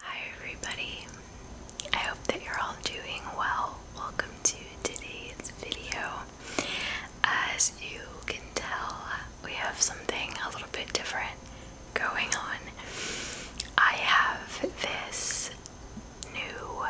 Hi everybody, I hope that you're all doing well. Welcome to today's video. As you can tell, we have something a little bit different going on. I have this new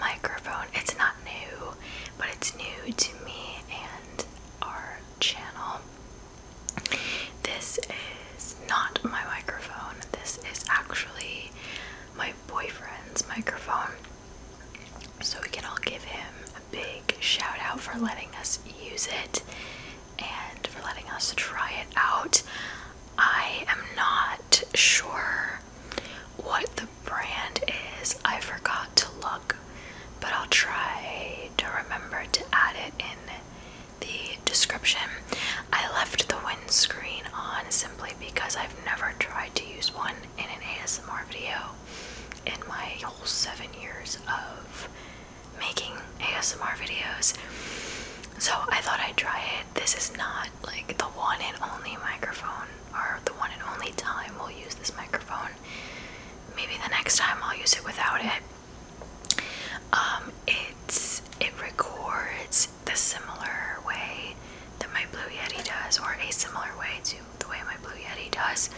microphone. It's not new, but it's new to me and our channel. This is not my microphone. This is actually my boyfriend's microphone. So we can all give him a big shout out for letting us use it and for letting us try it out. I am not sure what the brand is. I forgot to look, but I'll try to remember to add it in the description. I left the windscreen on simply because I've never tried to use one in an ASMR video in my whole seven years of making ASMR videos. So I thought I'd try it. This is not like the one and only microphone or the one and only time we'll use this microphone. Maybe the next time I'll use it without it. Um, it records the similar way that my Blue Yeti does, or a similar way to the way my Blue Yeti does,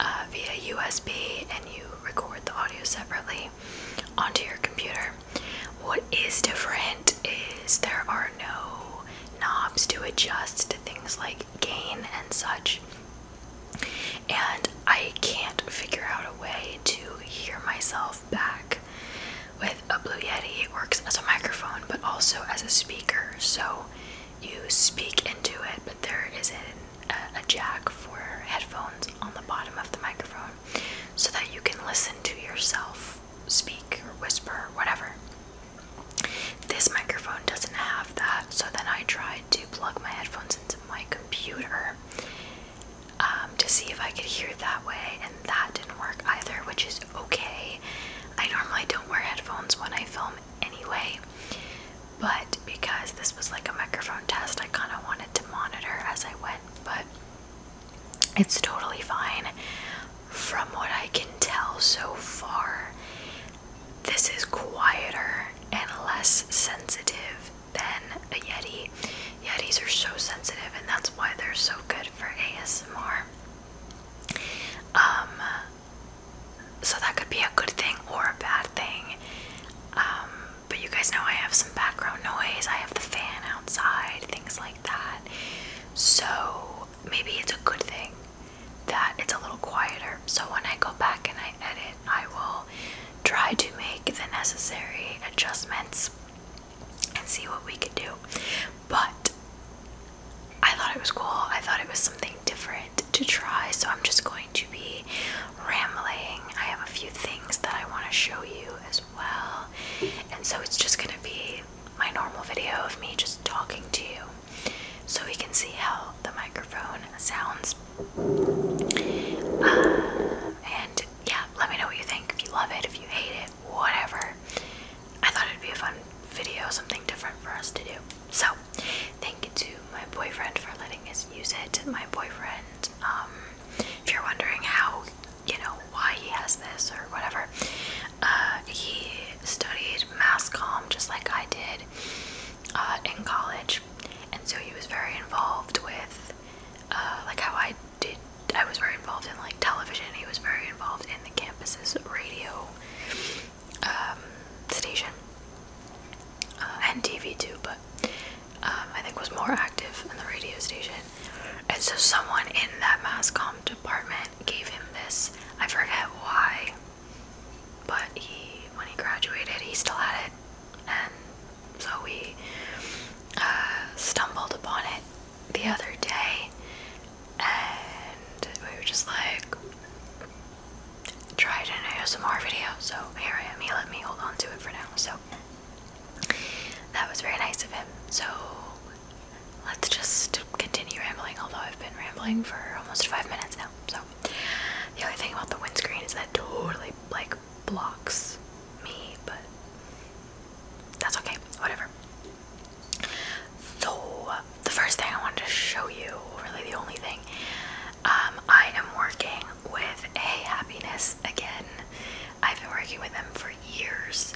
uh, via USB, and you record the audio separately onto your computer. What is different is there are no knobs to adjust to things like gain and such and I can't figure out a way to hear myself back. With a Blue Yeti, it works as a microphone but also as a speaker, so you speak into it, but there is isn't a, a jack for headphones on the bottom of the microphone so that you can listen to yourself speak or whisper or whatever. This microphone doesn't have that, so then I tried to plug my headphones into my computer um, to see if I could hear that way, and that didn't work either, which is okay. I normally don't wear headphones when I film anyway, but because this was like a microphone test, I kind of wanted to monitor as I went, but it's totally fine from what I can tell so far. This is quieter and less sensitive than a Yeti. Yetis are so sensitive, and that's why they're so good for ASMR. Um, so that could be a good thing or a bad thing. Um, but you guys know I have some background noise, I have the fan outside, things like that. So maybe it's a good thing that it's a little quieter. So when I go back and I edit, I will try to make the necessary adjustments and see what we could do. But I thought it was cool. I thought it was something different to try. So I'm just going to be rambling. I have a few things that I want to show you as well. And so it's just going to be my normal video of me just talking to you so we can see how the microphone sounds. Uh, and yeah, let me know what you think. If you love it, if you hate it, whatever. I thought it'd be a fun video, something different for us to do. So, thank you to my boyfriend for letting us use it. My boyfriend, um, if you're wondering how, you know, why he has this or whatever, uh, he studied mass comm just like I did. Uh, in college, and so he was very involved with uh, like how I did. I was very involved in like television. He was very involved in the campus's radio um, station uh, and TV too, but um, I think was more active in the radio station. And so someone in that mass comm department gave him this. I forget why. But he, when he graduated, he still had it, and so we uh, stumbled upon it the other day, and we were just like, tried an ASMR video. So here I am. He let me hold on to it for now. So that was very nice of him. So let's just continue rambling. Although I've been rambling for almost five minutes now. So the only thing about the windscreen is that it totally like blocks me, but that's okay, whatever. So the first thing I wanted to show you, really the only thing, um, I am working with a happiness again. I've been working with them for years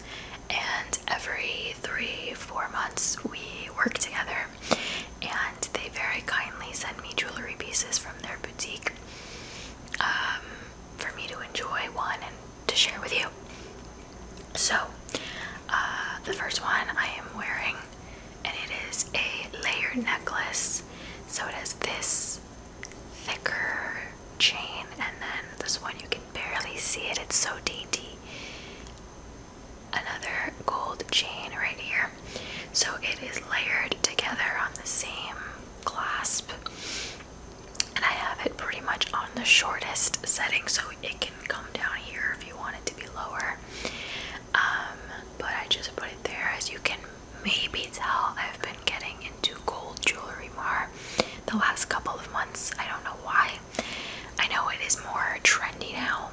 and every three, four months we work together and they very kindly send me jewelry pieces from their boutique um, for me to enjoy one and to share with you. So, uh, the first one I am wearing, and it is a layered necklace. So it has this thicker chain, and then this one you can barely see it. It's so dainty another gold chain right here. So it is layered together on the same clasp. And I have it pretty much on the shortest setting, so it can come down here if you want it to be lower. Um, but I just put it there. As you can maybe tell, I've been getting into gold jewelry more the last couple of months. I don't know why. I know it is more trendy now,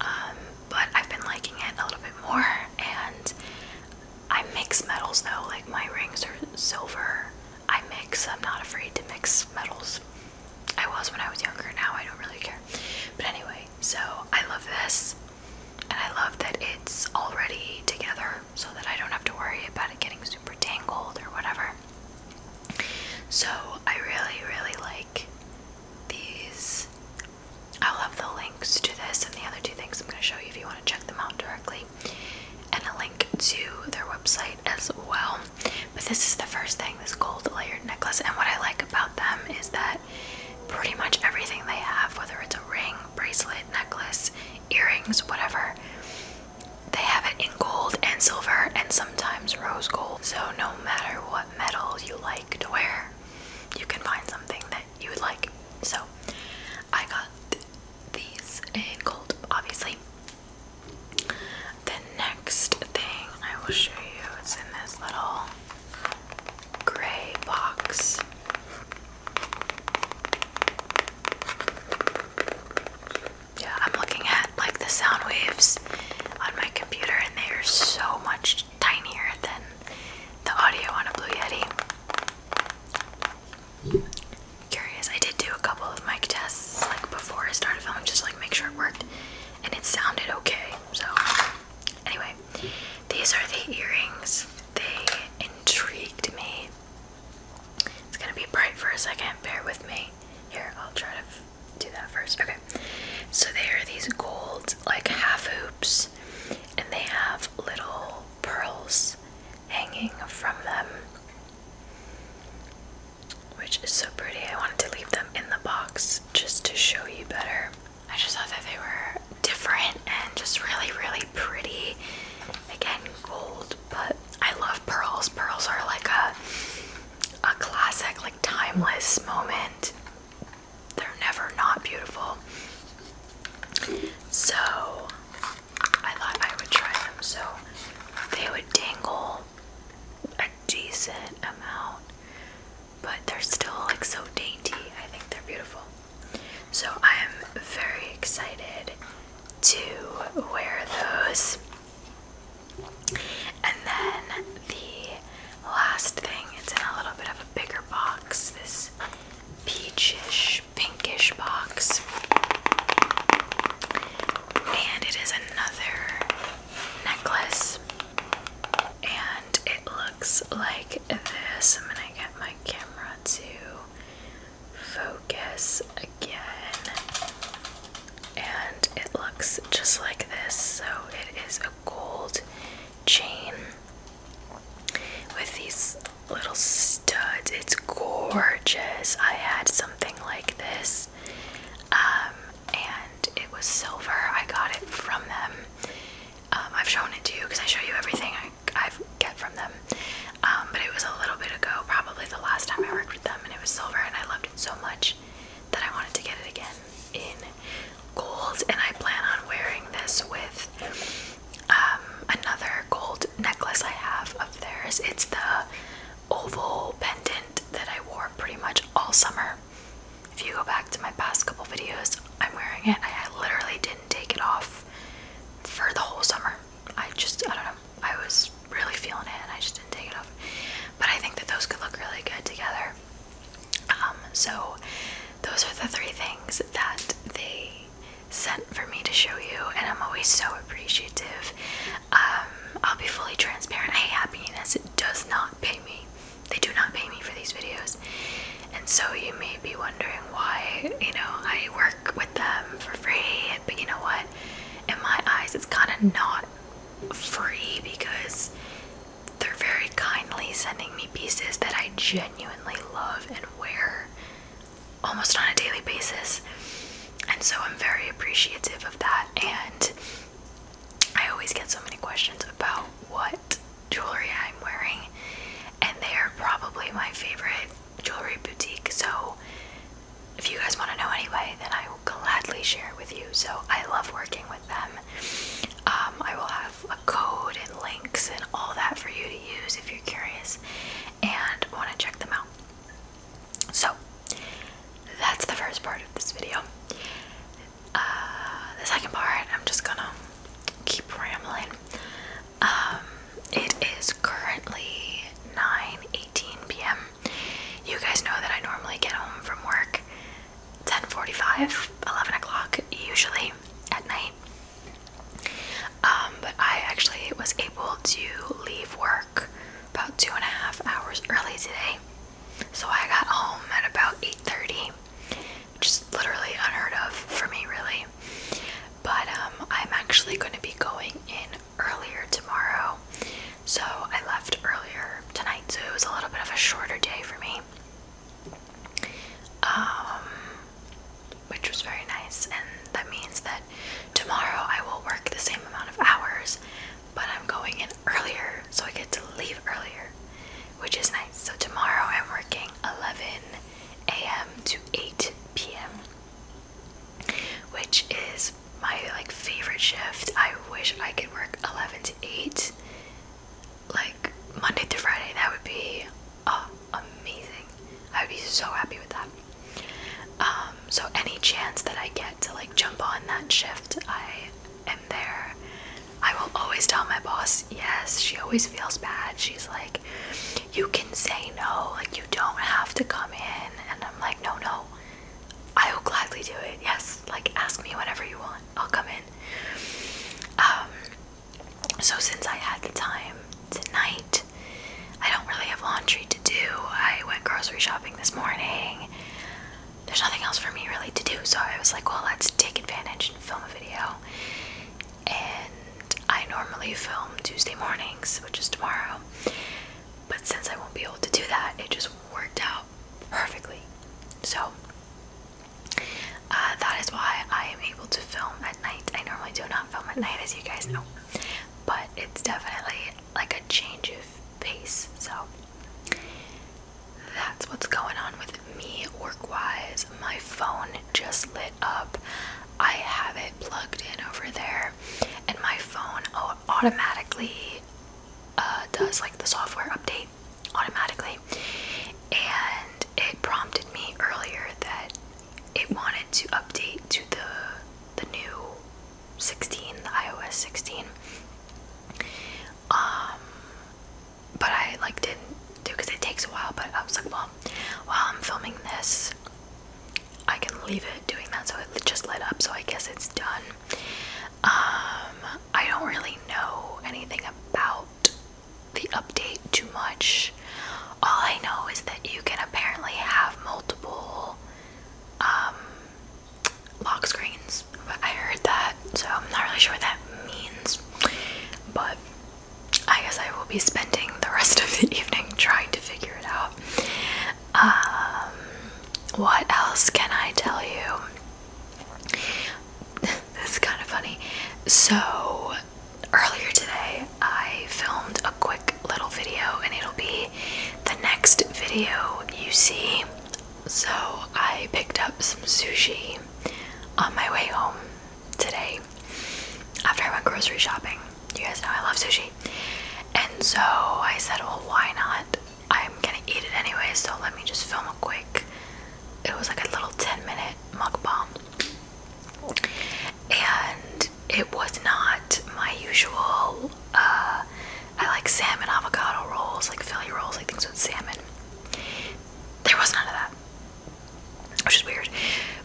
um, but I've been liking it a little bit more, and I mix metals though. Like my rings are silver. I mix. I'm not afraid to mix metals. I was when I was younger. Now I don't really care. But anyway, so I love this, and I love that it's already together, so that I don't have to worry about it getting super tangled or whatever. So I really, really like these. I'll have the links to this and the other two things I'm going to show you if you want to check them out directly, and a link to their website as well. But this is the first thing this gold layered necklace, and what I like about them is that pretty much everything they have, whether it's a ring, bracelet, necklace, earrings, whatever, they have it in gold and silver and sometimes rose gold. So no matter what metal you like to wear, you can find something that you would like. So I got these in gold, obviously. The next thing I will show you is in this little gray box. Yeah, I'm looking at like the sound waves on my computer, and they are so much tinier than the audio on a Blue Yeti. Curious, I did do a couple of mic tests like before I started filming, just to, like make sure it worked, and it sounded okay. So, anyway, these are the earrings. They intrigued me. It's gonna be bright for a second. Bear with me. Here, I'll try to do that first. Okay. So they are these gold like half hoops and they have little pearls hanging from them. Which is so pretty. I wanted to leave them in the box just to show you better. I just thought that they were different and just really, really pretty. Again, gold, but I love pearls. Pearls are like a a classic, like timeless moment. They're never not beautiful. So I thought I would try them. So they would dangle a decent amount, but they're still like so dainty. I think they're beautiful. So I am very excited to wear those. And then the last thing, it's in a little bit of a bigger box, this peachish, pinkish box. And it is another necklace. And it looks like this. I'm gonna get my camera to focus again. And it looks just like this. So it is a gold chain with these little studs. It's gorgeous. I had something like this. Um, and it was silver. I got it from them. Um, I've shown it to you because I show you everything I get from them. Um, but it was a little bit ago, probably the last time I worked them and it was silver and I loved it so much that I wanted to get it again in gold and I plan on wearing this with um, another gold necklace I have of theirs. It's the oval pendant that I wore pretty much all summer. If you go back to my past couple videos, I'm wearing it. I literally didn't take it off for the whole summer. I just, I don't know, I was really feeling it and I just didn't take it off. But I think that those could look really good together. Um, so those are the three things that they sent for me to show you, and I'm always so appreciative. Um, I'll be fully transparent. Hey, happiness does not pay me. They do not pay me for these videos. And so you may be wondering why, you know, I work with them for free, but you know what? in my eyes it's kind of not free because they're very kindly sending me pieces that I genuinely love and wear almost on a daily basis. And so I'm very appreciative of that. And I always get so many questions about what jewelry I'm wearing, and they are probably my favorite jewelry boutique. So if you guys want to know anyway, then I will gladly share with you. So I love working with them. Um, I will have a code and links and all that for you to use if you're curious and want to check them out. So that's the first part of this video. Uh, the second part, I'm just gonna keep rambling um, it is currently 9:18 p.m. You guys know that I normally get home from work 10:45, 11 o'clock usually at night. Um, but I actually was able to leave work about two and a half hours early today, so I got home at about 8:30, which is literally unheard of for me, really. But um, I'm actually going to be going in earlier tomorrow. So I left earlier tonight, so it was a little bit of a shorter day for me. Um, which was very nice, and that means that tomorrow I will work the same amount of hours, but I'm going in earlier, so I get to leave earlier, which is nice. So tomorrow I'm working 11 a.m. to 8 p.m which is my like favorite shift. I wish I could work 11 to 8 like Monday through Friday. That would be uh, amazing. I would be so happy with that. Um, so any chance that I get to like jump on that shift, I am there. I will always tell my boss yes. She always feels bad. She's like, you can say no, like you don't have to come in. And I'm like, no, no, I will gladly do it. Yes, like ask me whenever you want, I'll come in. Um, so since I had the time tonight, I don't really have laundry to do. I went grocery shopping this morning. There's nothing else for me really to do, so I was like, well, let's take advantage and film a video and I normally film Tuesday mornings, which is tomorrow. But since I won't be able to do that, it just worked out perfectly. So uh, that is why I am able to film at night. I normally do not film at night, as you guys know, but it's definitely like a change of pace. So that's what's going on with me work wise. My phone just lit up. I have it plugged in over there, and my phone automatically uh, does like the software update automatically. And it prompted me earlier that it wanted to update to the the new 16, the iOS 16. Um, but I like didn't do because it takes a while. But I was like, well, while I'm filming this. I can leave it doing that so it just lit up, so I guess it's done. Um, I don't really know anything about the update too much. All I know is that you can apparently have multiple um, lock screens, but I heard that, so I'm not really sure what that means. But I guess I will be spending the rest of the evening trying to figure it out. Um, what else can I tell you? this is kind of funny. So, earlier today, I filmed a quick little video, and it'll be the next video you see. So, I picked up some sushi on my way home today after I went grocery shopping. You guys know I love sushi. And so I said, well, why not? I'm gonna eat it anyway, so let me just film a quick. It was like a little 10 minute mukbang. And it was not my usual, uh, I like salmon avocado rolls, like Philly rolls, like things with salmon. There was none of that which is weird.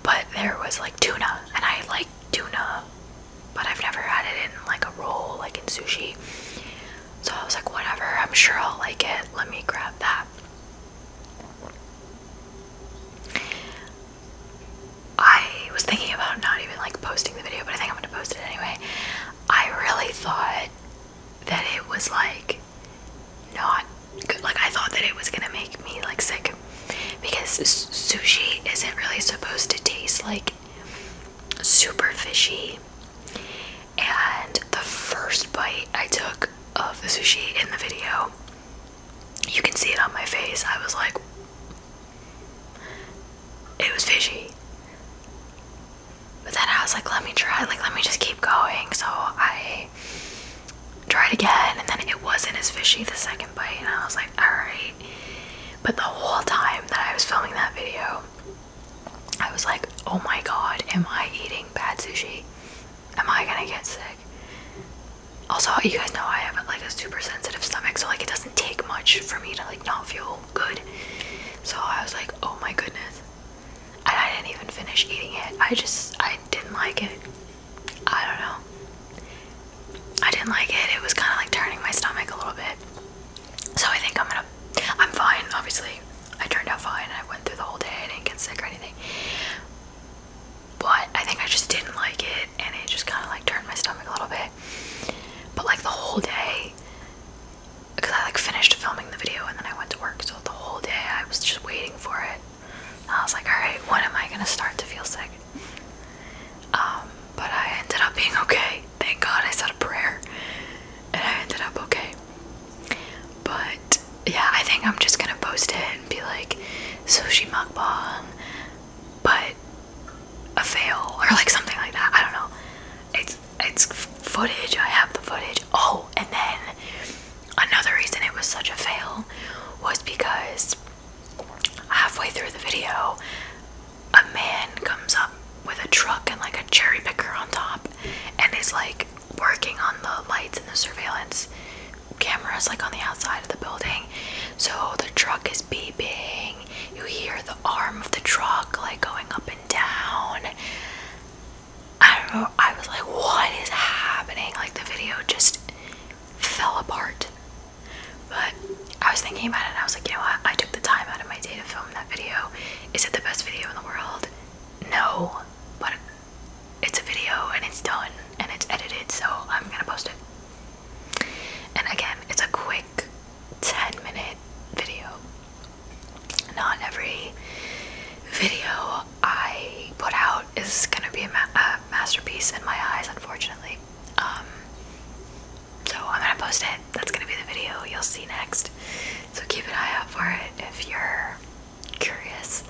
But there was like tuna, and I like tuna, but I've never had it in like a roll, like in sushi. So I was like, whatever, I'm sure I'll like it. Let me grab that. I was thinking about not even like posting the video, but I think I'm gonna post it anyway. I really thought that it was like not Like I thought that it was gonna make me like sick because sushi isn't really supposed to taste like super fishy. And the first bite I took of the sushi in the video, you can see it on my face. I was like, it was fishy. But then I was like, let me try, like, let me just keep going. So I I tried again, and then it wasn't as fishy the second bite, and I was like, alright. But the whole time that I was filming that video, I was like, oh my god, am I eating bad sushi? Am I gonna get sick? Also, you guys know I have like a super sensitive stomach, so like it doesn't take much for me to like not feel good. So I was like, oh my goodness. I didn't even finish eating it. I just, I didn't like it. I don't know. I didn't like it. It was kind of like turning my stomach a little bit. So I think I'm gonna, I'm fine, obviously. I turned out fine. I went through the whole day. I didn't get sick or anything. But I think I just didn't like it and it just kind of like turned my stomach a little bit. But like the whole day, because I like finished filming the video and then I went to work. So the whole day I was just waiting for it. I was like, alright, when am I gonna start to feel sick? Um, but I ended up being okay. Thank God I said a prayer and I ended up okay. But yeah, I think I'm just gonna post it and be like sushi mukbang, but a fail or like something like that. I don't know. It's it's footage. I have the footage. Oh, and then Another reason it was such a fail was because halfway through the video, a man comes up with a truck and like a cherry picker on top and is like working on the lights and the surveillance cameras like on the outside of the building. So the truck is beeping. You hear the arm of the truck like going up and down. I don't know, I was like, what is happening? Like the video just fell apart. But I was thinking about it I was like, you know what? I took the time out of my day to film that video. Is it the best video in the world? No, but it's a video and it's done and it's edited, so I'm gonna post it. And again, it's a quick 10 minute video not every video I put out is gonna be a, masterpiece in my eyes, unfortunately. Um, so I'm gonna post it. That's gonna be the video you'll see next. So keep an eye out for it if you're curious.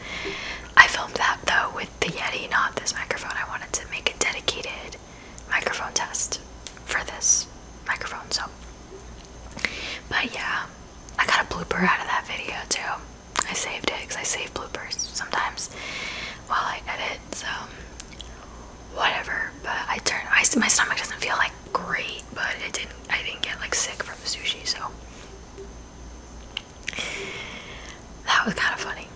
I filmed that though with the Yeti, not this microphone. I wanted to make a dedicated microphone test for this microphone, so but yeah, I got a blooper out of that video too. I saved it because I save bloopers sometimes while I edit, so whatever. But I turned my my stomach doesn't feel like great, but it didn't. I didn't get like sick from sushi, so that was kind of funny.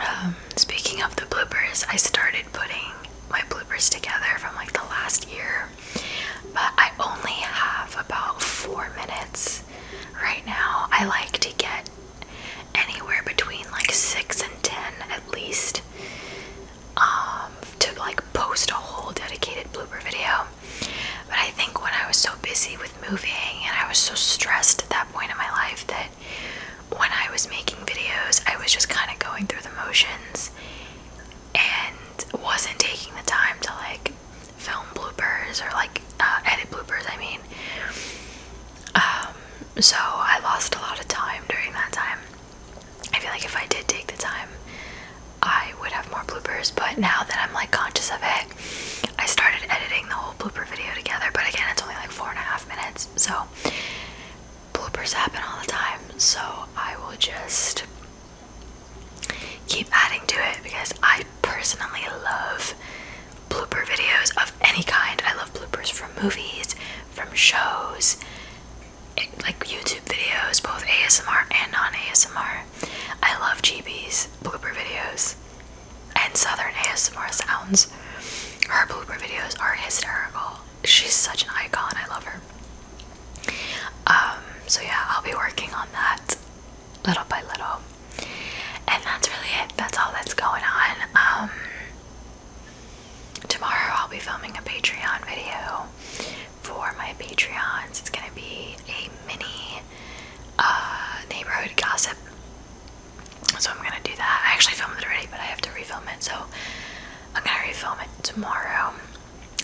Um, speaking of the bloopers, I started putting my bloopers together from like the last year but I only have about four minutes right now. I like to get anywhere between like six and ten at least um, to like post a whole dedicated blooper video. But I think when I was so busy with moving and I was so stressed at that point in my life that when I was making videos, I was just kind of going through the motions and wasn't taking the time to like film bloopers or like uh, edit bloopers, I mean. Um, so I lost a lot of time during that time. I feel like if I did take the time, I would have more bloopers, but now that I'm like conscious of it, I started editing the whole blooper video together, but again, it's only like four and a half minutes, so bloopers happen all the time, so I will just keep adding to it because I personally love blooper videos of any kind. I love bloopers from movies, from shows, eh, like YouTube videos, both ASMR and non ASMR. I love GB's blooper videos and Southern ASMR sounds. Her blooper videos are hysterical. She's such an icon. I love her. Um, so yeah, I'll be working on that little by little. And that's really it. That's all that's going on. Um, tomorrow I'll be filming a Patreon video for my Patreons. It's gonna be a mini uh, neighborhood gossip. So I'm gonna do that. I actually filmed it already, but I have to refilm it. So I'm gonna refilm it tomorrow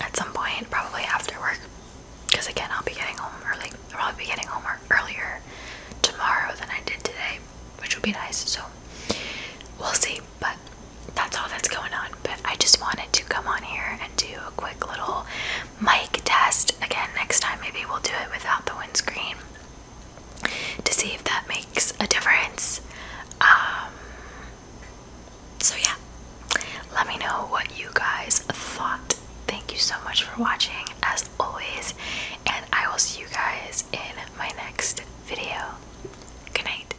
at some point, probably after work. Because again, I'll be getting home early. I'll probably be getting home earlier tomorrow than I did today, which would be nice. So we'll see. But that's all that's going on. But I just wanted to come on here and do a quick little mic test. Again, next time maybe we'll do it without the windscreen to see if that makes a difference. Um, so, yeah, let me know what you guys thought. Thank you so much for watching, as always, and I will see you guys in my next video. Good night.